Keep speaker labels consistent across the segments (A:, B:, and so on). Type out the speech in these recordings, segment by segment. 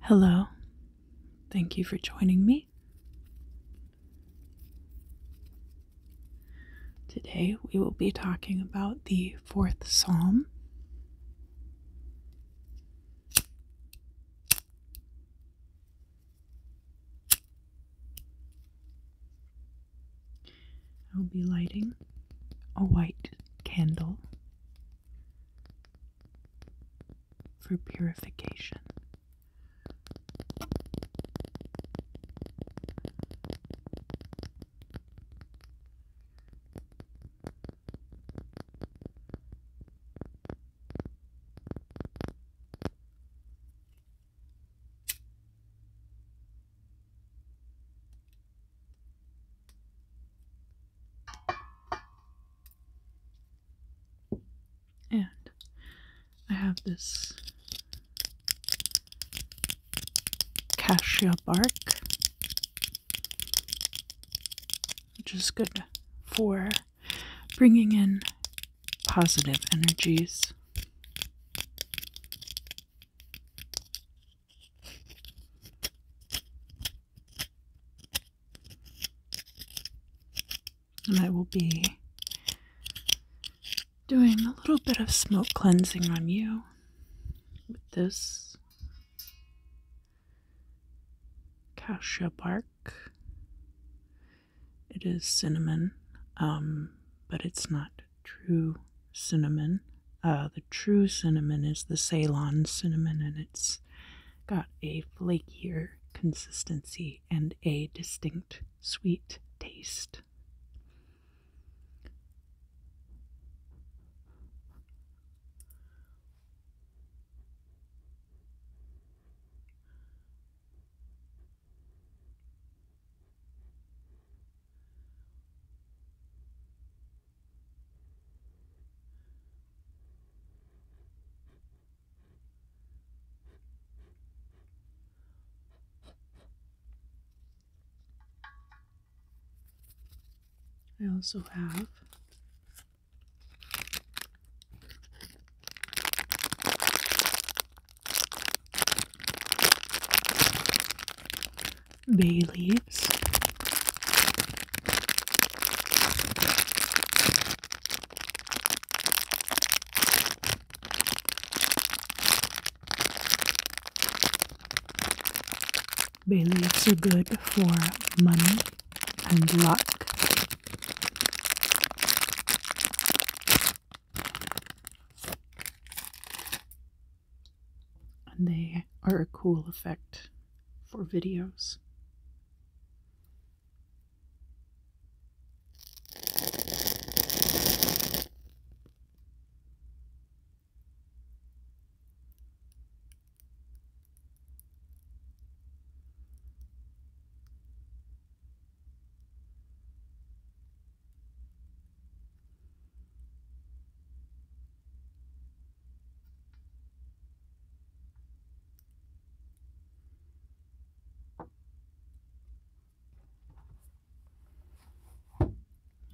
A: Hello. Thank you for joining me. Today we will be talking about the fourth psalm. I'll be lighting a white candle for purification. And I have this cassia bark, which is good for bringing in positive energies. And I will be doing a little bit of smoke cleansing on you with this cassia bark it is cinnamon, um, but it's not true cinnamon. Uh, the true cinnamon is the Ceylon cinnamon, and it's got a flakier consistency and a distinct sweet taste. I also have bay leaves bay leaves are good for money and luck and they are a cool effect for videos.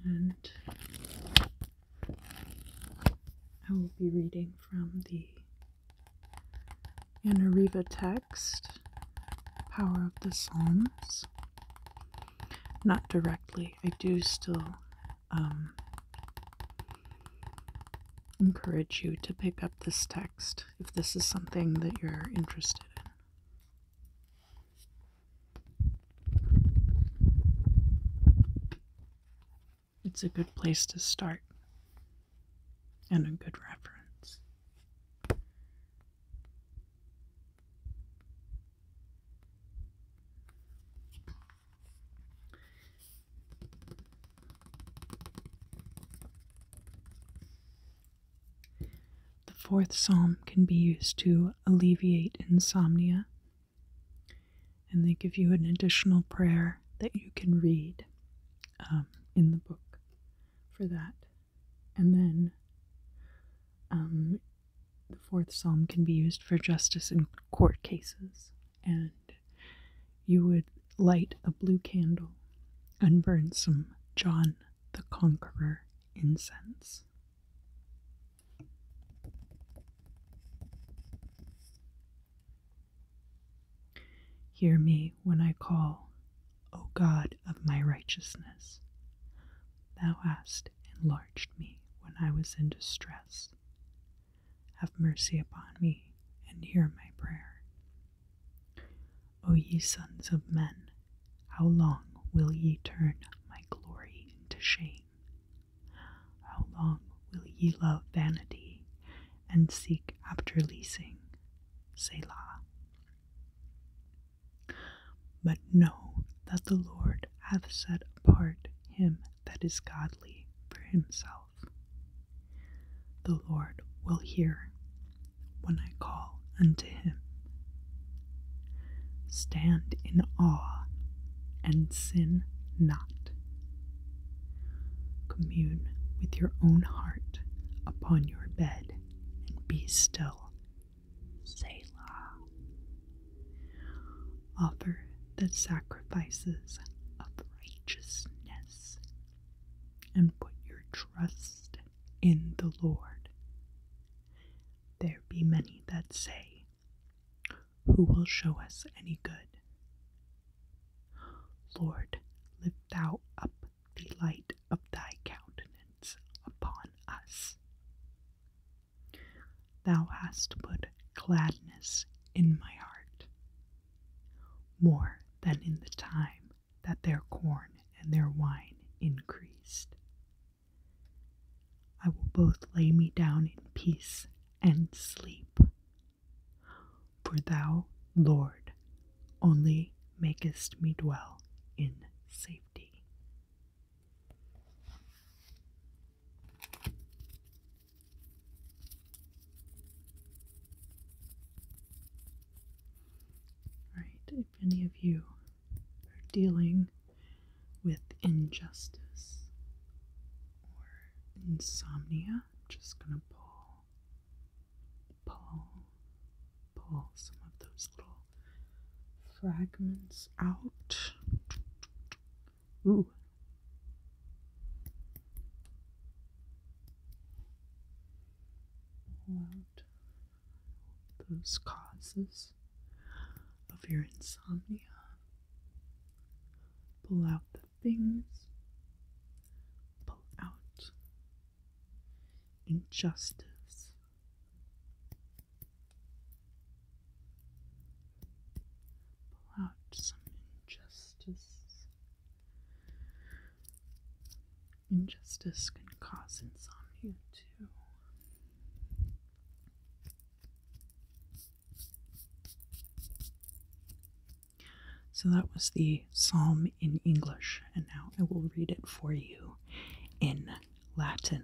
A: And I will be reading from the and Arriva text, Power of the Psalms. Not directly. I do still um, encourage you to pick up this text if this is something that you're interested in it's a good place to start and a good reference. The fourth psalm can be used to alleviate insomnia, and they give you an additional prayer that you can read um, in the book for that. And then um, the fourth psalm can be used for justice in court cases, and you would light a blue candle and burn some John the Conqueror incense. Hear me when I call, O God of my righteousness. Thou hast enlarged me when I was in distress. Have mercy upon me and hear my prayer. O ye sons of men, how long will ye turn my glory into shame? How long will ye love vanity and seek after leasing? Selah. But know that the Lord hath set apart him that is godly for himself. The Lord will hear when I call unto him. Stand in awe and sin not. Commune with your own heart upon your bed and be still. Say Selah. Offer the sacrifices of righteousness and put your trust in the Lord. There be many that say, who will show us any good? Lord, lift thou up the light of thy countenance upon us. Thou hast put gladness in my heart, more than in the time that their corn and their wine increased. I will both lay me down in peace and sleep, for thou, Lord, only makest me dwell in safety. Right, if any of you are dealing with injustice insomnia. I'm just gonna pull, pull, pull some of those little fragments out. Ooh. Pull those causes of your insomnia. Pull out the things. Pull out injustice. Pull out some injustice. Injustice can cause insomnia too. So that was the psalm in English, and now I will read it for you in Latin.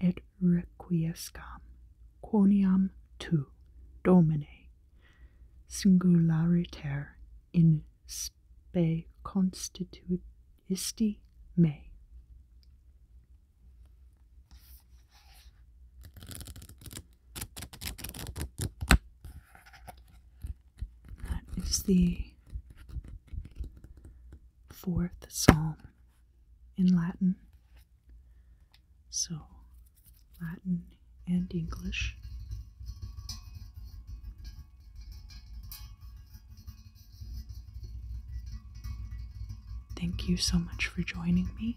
A: et requiescam quoniam tu, Domine, singulariter in spe constituisti me fourth psalm in Latin. So, Latin and English. Thank you so much for joining me.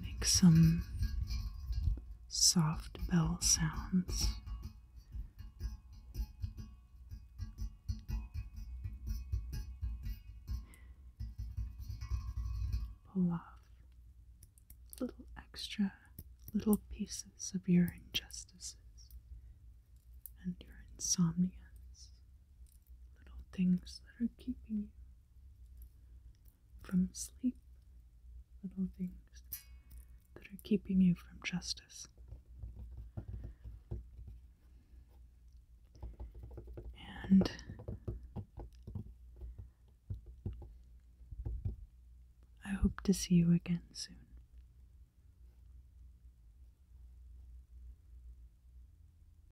A: Make some soft bell sounds. Pull off little extra little pieces of your injustices and your insomnias, little things that are keeping you from sleep, little things that are keeping you from justice. And I hope to see you again soon.